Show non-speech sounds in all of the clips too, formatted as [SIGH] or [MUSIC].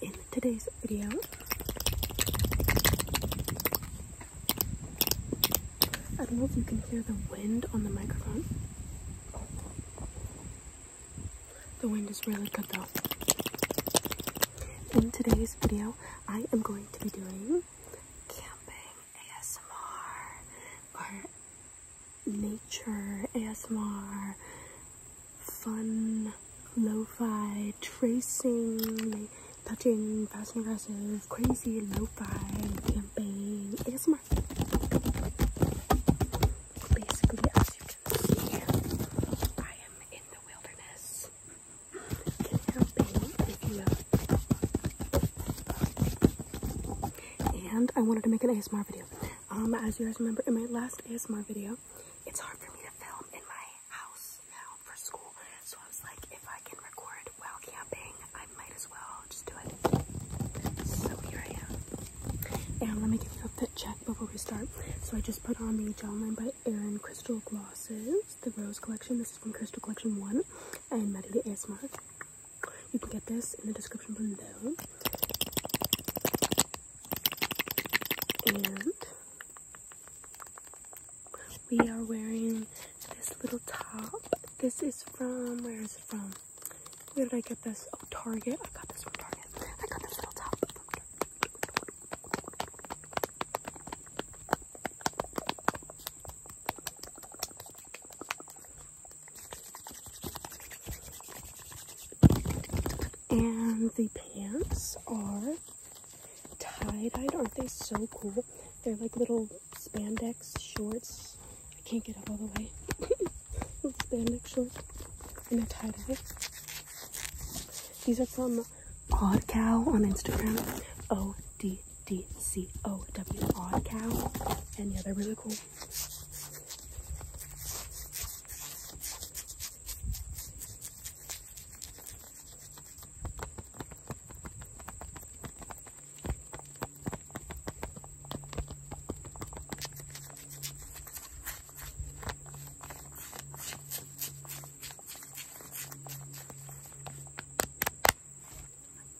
in today's video. I don't know if you can hear the wind on the microphone. The wind is really good though. In today's video, I am going to be doing camping ASMR or nature ASMR fun lo-fi tracing, touching, fast and aggressive, crazy lo-fi campaign ASMR. Basically, as you can see, I am in the wilderness camping, if And I wanted to make an ASMR video. Um, as you guys remember, in my last ASMR video, it's hard for me to film in my house now for school. So I was like, if I can record while camping, I might as well just do it. So here I am. And let me give you a fit check before we start. So I just put on the gel line by Erin Crystal Glosses, the Rose Collection. This is from Crystal Collection 1 and Medley ASMR. You can get this in the description below. And we are wearing this little top. This is from, where is it from? Where did I get this? Oh, Target. I got this from Target. I got this little top. And the pants are tie dye Aren't they so cool? They're like little spandex shorts. I can't get up all the way. [LAUGHS] spandex shorts and a tie-dye. These are from Odd Cow on Instagram. O-D-D-C-O-W, Odd Cow. And yeah, they're really cool.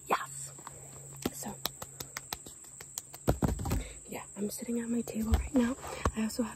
Yes. So, yeah, I'm sitting at my table right now. I also have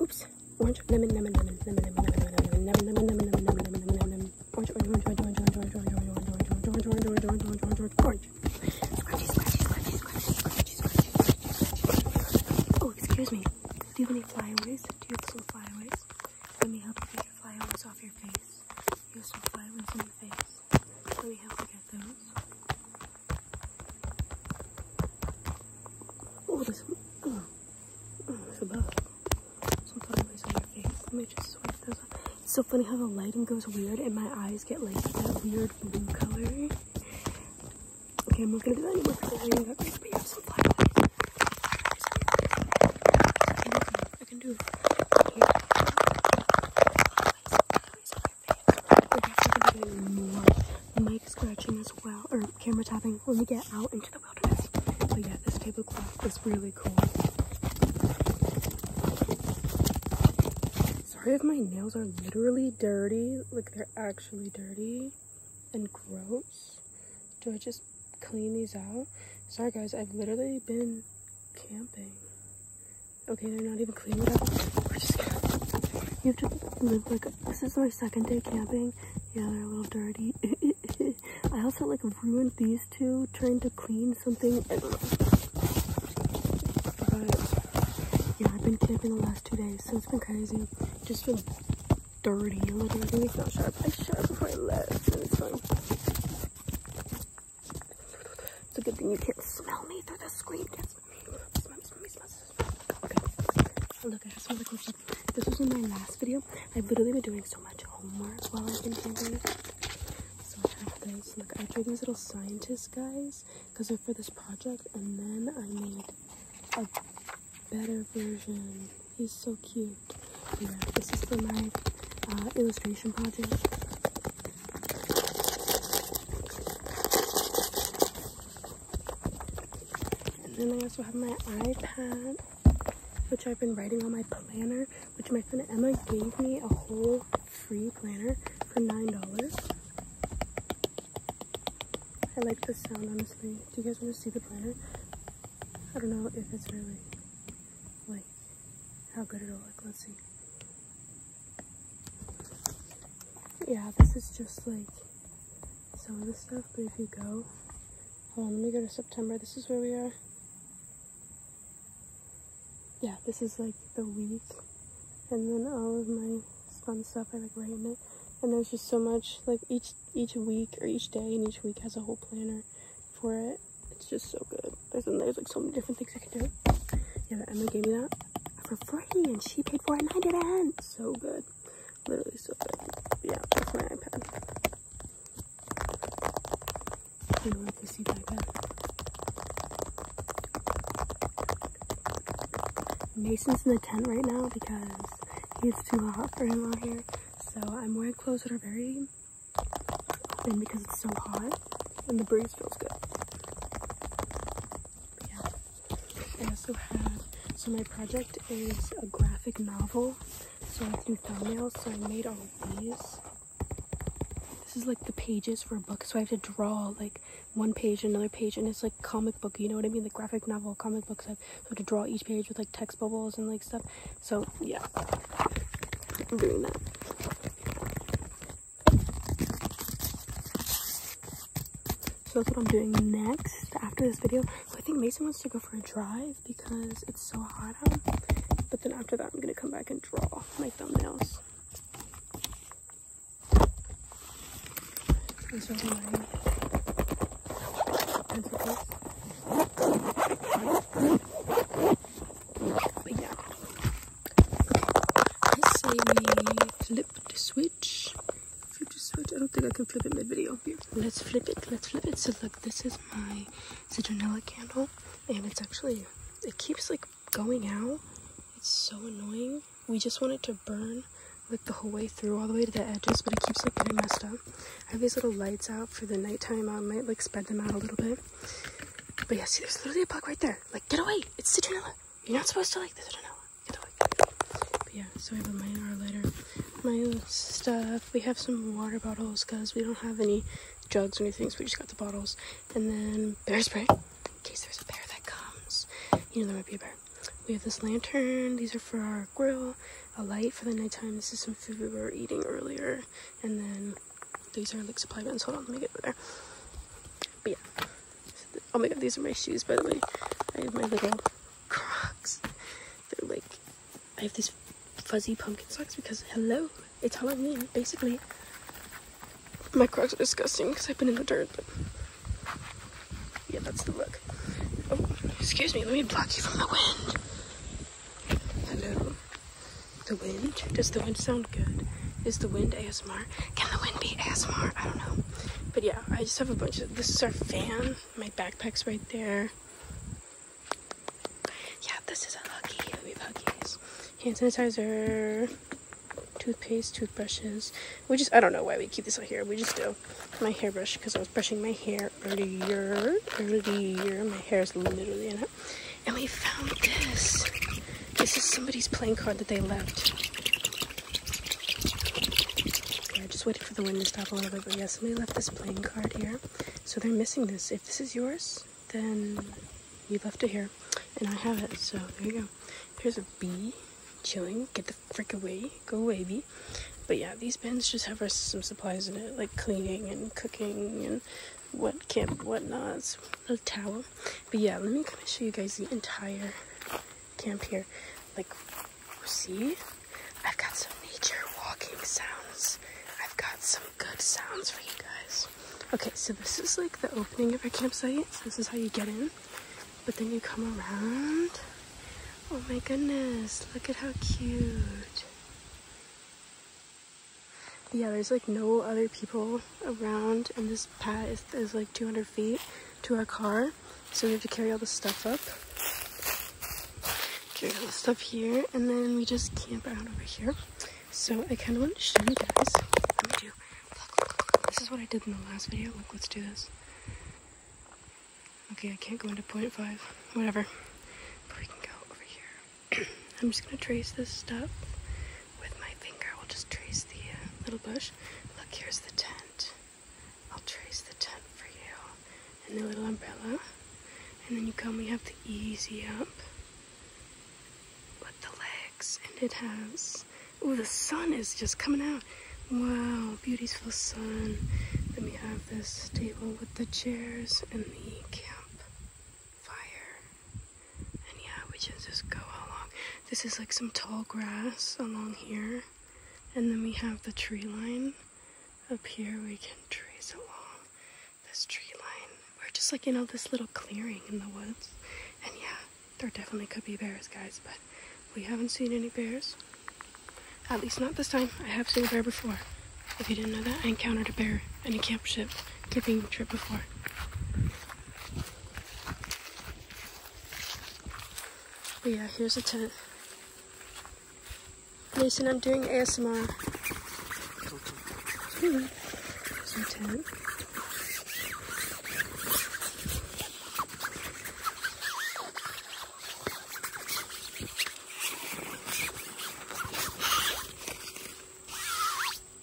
Oops. Orange, lemon, lemon, lemon, lemon, lemon, lemon, lemon, lemon, lemon, lemon, lemon, lemon, lemon, lemon, orange, orange, orange, orange, orange, orange, orange, orange, orange, orange, orange, orange, orange, orange, orange. Scrunchy, scrunchy, scrunchy, scrunchy, scrunchy, scrunchy. Oh, excuse me. Do you have any flyaways? Do you have some flyaways? Let me help you get your flyaways off your face. You have some flyaways on your face. Let me help you get those. Oh, there's some, oh, oh there's some, uh, some flyaways on your face. Let me just swipe those up. It's so funny how the lighting goes weird and my eyes get like that weird blue color. Okay, I'm not gonna do that anymore because I got great, but you have some flyaways. I can do it. I can do it. Flyaways, flyaways, flyaways more. The mic scratching as well, or camera tapping when we get out into the wilderness. But yeah, this tablecloth was really cool. Sorry if my nails are literally dirty, like they're actually dirty and gross. Do I just clean these out? Sorry guys, I've literally been camping. Okay, they're not even clean, whatever. We're just gonna, you have to live like, this is my second day camping. Yeah, they're a little dirty. [LAUGHS] I also like ruined these two trying to clean something. I don't know. yeah, I've been camping the last two days, so it's been crazy. Just been dirty, literally. It's not sharp. I sharp before I left, and it's fine. It's a good thing you can't smell me through the screen. Okay. Look, I have some other cool stuff. This was in my last video. I've literally been doing so much homework while I've been camping. So I have those. Look, I drew these little scientist guys because they're for this project. And then I made a better version. He's so cute. Yeah, this is for my uh, illustration project. And then I also have my iPad, which I've been writing on my planner, which my friend Emma gave me a whole free planner for $9. I like the sound, honestly. Do you guys want to see the planner? I don't know if it's really, like, how good it'll look. Let's see yeah, this is just like some of the stuff, but if you go, hold on, let me go to September. This is where we are. Yeah, this is like the week. And then all of my fun stuff, I like write in it. And there's just so much, like each each week or each day and each week has a whole planner for it. It's just so good. There's there's like so many different things I can do. Yeah, Emma gave me that for free and she paid for it and I didn't. So good. Literally so good. Yeah, that's my iPad. I really like to see my iPad. Mason's in the tent right now because it's too hot for him out here. So I'm wearing clothes that are very thin because it's so hot and the breeze feels good. Yeah. I also have, so my project is a graphic novel, so I have do thumbnails, so I made all of these. This is like the pages for a book, so I have to draw like one page, another page, and it's like comic book, you know what I mean? The graphic novel, comic books, I have to draw each page with like text bubbles and like stuff. So yeah, I'm doing that. So that's what I'm doing next after this video. I think Mason wants to go for a drive because it's so hot out. But then after that, I'm going to come back and draw my thumbnails. And so I'm wearing pencil But yeah. I say we flip the switch. Flip the switch. I don't think I can flip it mid video. Let's flip it. Let's flip it. So look, this is my citronella candle, and it's actually it keeps like going out. It's so annoying. We just want it to burn like the whole way through all the way to the edges but it keeps like getting messed up i have these little lights out for the nighttime i might like spread them out a little bit but yeah, see, there's literally a bug right there. Like, get away. It's citronella. You're not supposed to like the citronella. Get away. But yeah, so we have a minor lighter. My stuff. We have some water bottles because we don't have any jugs or anything, so we just got the bottles. And then bear spray in case there's a bear that comes. You know, there might be a bear. We have this lantern. These are for our grill. A light for the nighttime. This is some food we were eating earlier. And then these are like supply bins. Hold on, let me get over there. But yeah. Oh my god, these are my shoes, by the way. I have my little Crocs. They're like, I have these fuzzy pumpkin socks because, hello, it's Halloween, basically. My Crocs are disgusting because I've been in the dirt, but yeah, that's the look. Oh, excuse me, let me block you from the wind. Hello. The wind? Does the wind sound good? Is the wind ASMR? Can the wind be ASMR? I don't know. But yeah, I just have a bunch of. This is our fan. My backpack's right there. Yeah, this is a lucky We have Hand sanitizer, toothpaste, toothbrushes. We just, I don't know why we keep this out here. We just do. My hairbrush, because I was brushing my hair earlier. Earlier. My hair is literally in and we found this. This is somebody's playing card that they left. I yeah, just waited for the wind to stop a little bit, but yeah, somebody left this playing card here. So they're missing this. If this is yours, then you left it here. And I have it, so there you go. Here's a bee chilling. Get the frick away. Go away, bee. But yeah, these bins just have some supplies in it, like cleaning and cooking and what camp whatnots a towel. But yeah, let me kind of show you guys the entire camp here. Like, see? I've got some nature walking sounds. I've got some good sounds for you guys. Okay, so this is like the opening of our campsite. So this is how you get in. But then you come around. Oh my goodness, look at how cute yeah, there's like no other people around, and this path. is, like 200 feet to our car, so we have to carry all the stuff up. Carry all the stuff here, and then we just camp out over here. So I kind of want to show you guys. Let me do. This is what I did in the last video. Look, let's do this. Okay, I can't go into 0.5. Whatever. we can go over here. [COUGHS] I'm just gonna trace this stuff with my finger. We'll just trace the uh, little bush. Look, here's the tent. I'll trace the tent for you and the little umbrella. And then you come, we have the easy up with the legs. And it has, oh, the sun is just coming out. Wow, beautiful sun. Then we have this table with the chairs and the camp fire. And yeah, we can just go along. This is like some tall grass along here. And then we have the tree line. Up here we can trace along this tree line. We're just like, in all this little clearing in the woods. And yeah, there definitely could be bears, guys, but we haven't seen any bears. At least not this time. I have seen a bear before. If you didn't know that, I encountered a bear in a campsite tipping trip before. But yeah, here's a tent. Mason, I'm doing ASMR. Ooh, hmm. there's tent.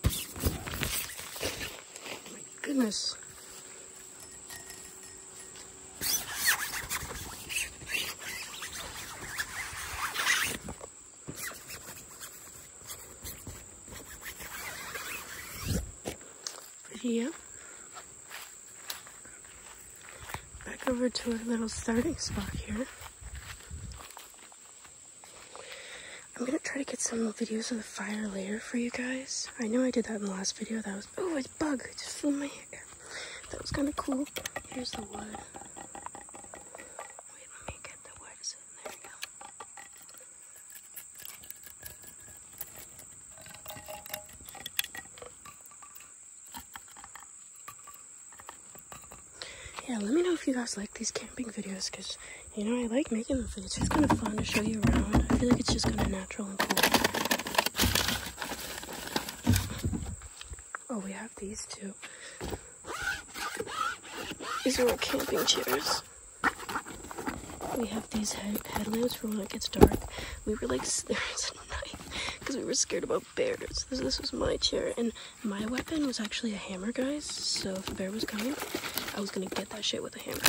My goodness. Pretty, yeah. Back over to our little starting spot here. I'm gonna try to get some videos of the fire later for you guys. I know I did that in the last video. That was oh, it's bug. It just flew my hair. That was kind of cool. Here's the wood. Wait, let me get the wood. There we go yeah, let me know if you guys like these camping videos because you know I like making them for you. It's just kind of fun to show you around. I feel like it's just kind of natural and cool. Oh, we have these too. These are our camping chairs. We have these headlamps for when it gets dark. We were like, there's [LAUGHS] a knife because we were scared about bears. this was my chair, and my weapon was actually a hammer, guys, so if a bear was coming, I was gonna get that shit with a hammer.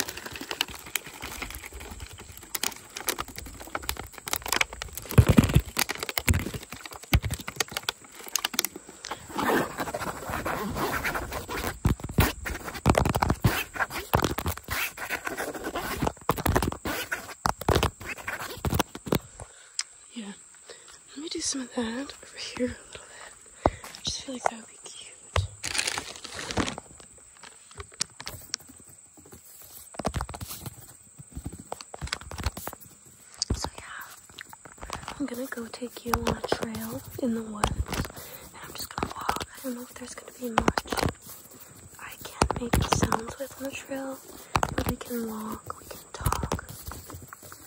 Let me do some of that over here a little bit. I just feel like that would be cute. So yeah, I'm gonna go take you on a trail in the woods. And I'm just gonna walk. I don't know if there's gonna be much I can make sounds with on the trail. But we can walk, we can talk.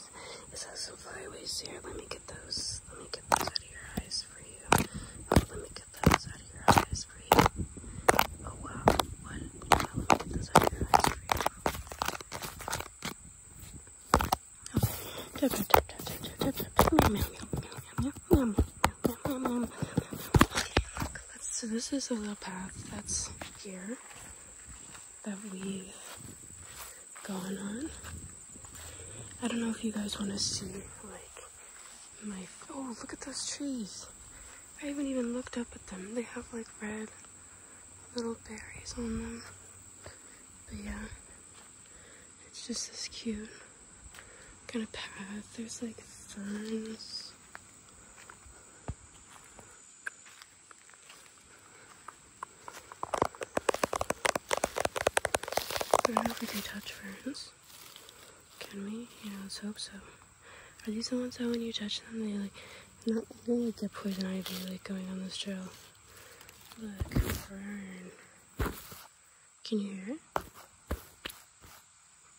eyes. It says some flyaways here. Let me get those. Let me get those out of your eyes for you. Oh, let me get those out of your eyes for you. Oh wow. What? Wow, let me get those out of your eyes for you. Okay, look. That's, so this is a little path that's here that we've gone on. I don't know if you guys want to see, like, my. Oh, look at those trees! I haven't even looked up at them. They have, like, red little berries on them. But yeah, it's just this cute kind of path. There's, like, ferns. I don't know if we can touch ferns. Can we? Yeah, let's hope so. Are these the ones that when you touch them, they like, not, they like the poison ivy like going on this trail? Look, fern. Can you hear it?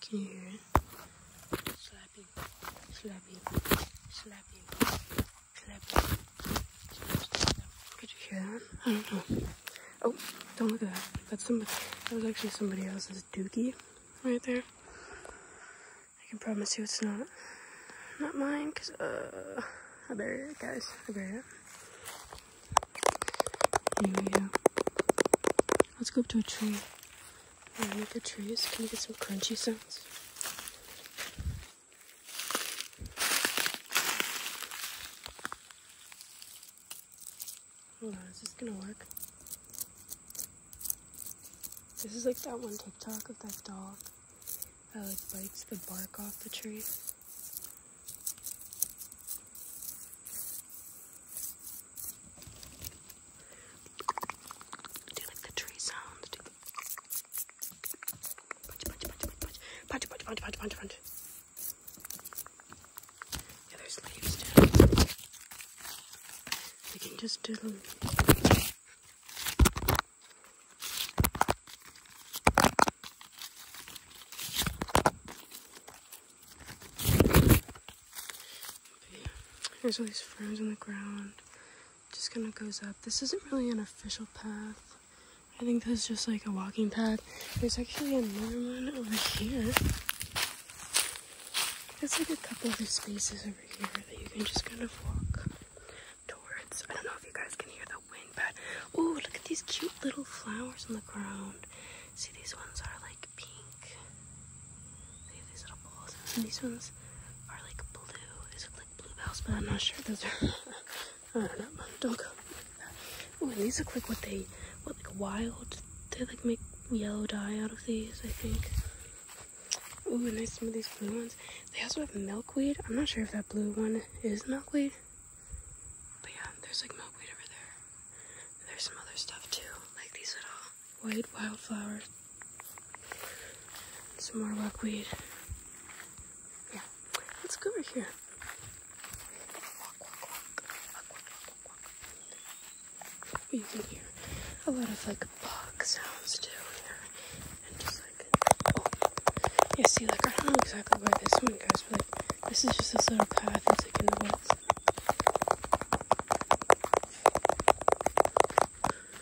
Can you hear it? Slapping, slapping, slapping. Clever. Could you hear that? I don't know. Oh, don't look at that. That's somebody. That was actually somebody else's dookie right there. I can promise you it's not not mine, because, uh, I buried it, guys. I buried it. Here we go. Let's go up to a tree. look at trees. Can you get some crunchy sounds? Hold on, is this gonna work? This is like that one TikTok of that dog that like bites the bark off the tree. Do like the tree sounds. Do Punch, punch, punch, punch, punch, punch. Yeah, there's leaves too. We can just do them. There's all these ferns on the ground just kind of goes up. This isn't really an official path. I think this is just like a walking path. There's actually another one over here. There's like a couple other spaces over here that you can just kind of walk towards. I don't know if you guys can hear the wind, but oh, look at these cute little flowers on the ground. See, these ones are like pink. They have these little balls, and these ones are like blue. Blue ones, but I'm not sure those are. I don't know. Don't go. Ooh, these look like what they, what like wild. They like make yellow dye out of these, I think. Ooh, and there's some of these blue ones. They also have milkweed. I'm not sure if that blue one is milkweed. But yeah, there's like milkweed over there. there's some other stuff too, like these little white wildflowers. Some more rockweed. Yeah, let's go over here. Walk, walk, walk. You can hear a lot of like bog sounds too here. And just like, oh. Yeah, see, like, I don't know exactly where this one goes, but like, this is just this little path. It's like in the woods.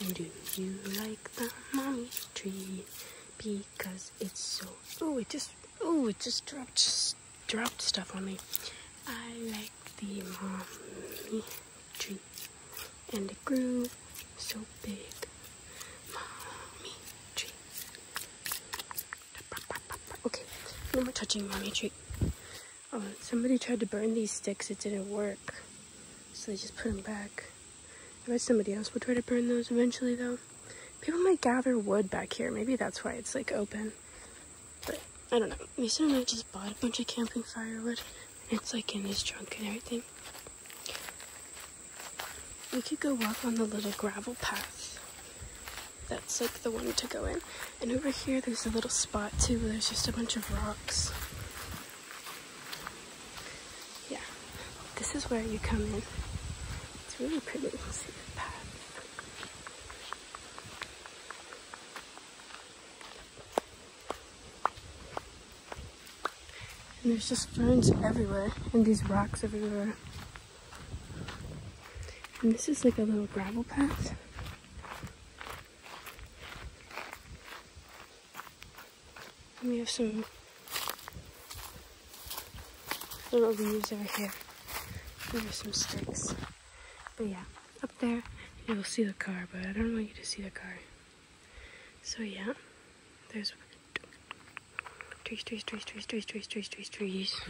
And do you like the mommy tree? Because it's so. Oh, it just. Oh, it just dropped. Just dropped stuff on me. I like the mommy tree, and it grew so big. Mommy tree. Okay, no more touching mommy tree. Oh, somebody tried to burn these sticks. It didn't work so they just put them back. I bet somebody else will try to burn those eventually, though. People might gather wood back here. Maybe that's why it's, like, open. But, I don't know. Mason and I just bought a bunch of camping firewood. It's, like, in his trunk and everything. We could go walk on the little gravel path. That's, like, the one to go in. And over here, there's a little spot, too, where there's just a bunch of rocks. Yeah, this is where you come in. It's really pretty. And there's just ferns everywhere and these rocks everywhere. And this is like a little gravel path we have some little leaves over here. And there's some sticks. But yeah, up there you'll see the car, but I don't want you to see the car. So yeah, there's trees, trees, trees, trees, trees, trees, trees, trees, trees.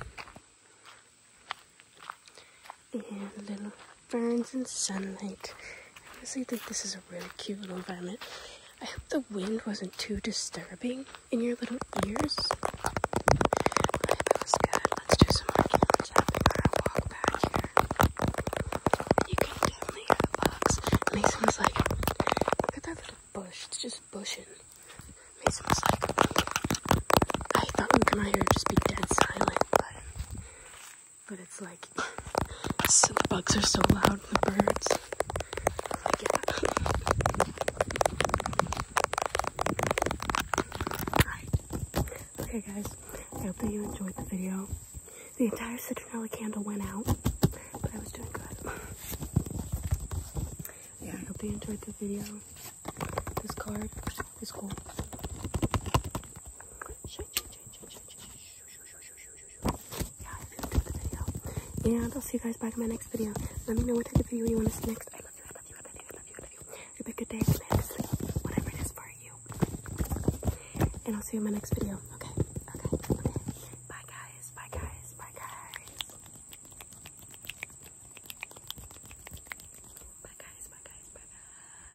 And little Burns in sunlight. I honestly think this is a really cute little environment. I hope the wind wasn't too disturbing in your little ears. I was good. Let's do some more camera tapping on our walk back here. You can definitely hear the bugs. Mason's like, look at that little bush. It's just bushing. Mason was like, I thought we were gonna hear just be dead silent, but but it's like the [LAUGHS] bugs are so loud, the birds. yeah. [LAUGHS] Okay guys, I hope that you enjoyed the video. The entire citronella candle went out, but I was doing good. [LAUGHS] yeah, I hope you enjoyed the video. This card is cool. And I'll see you guys back in my next video. Let me know what type of video you want to see next. I love you, I love you, I love you, Have a good day, good whatever it is for you. And I'll see you in my next video. Okay, okay, okay. Bye guys, bye guys, bye guys. Bye guys, bye guys, bye guys.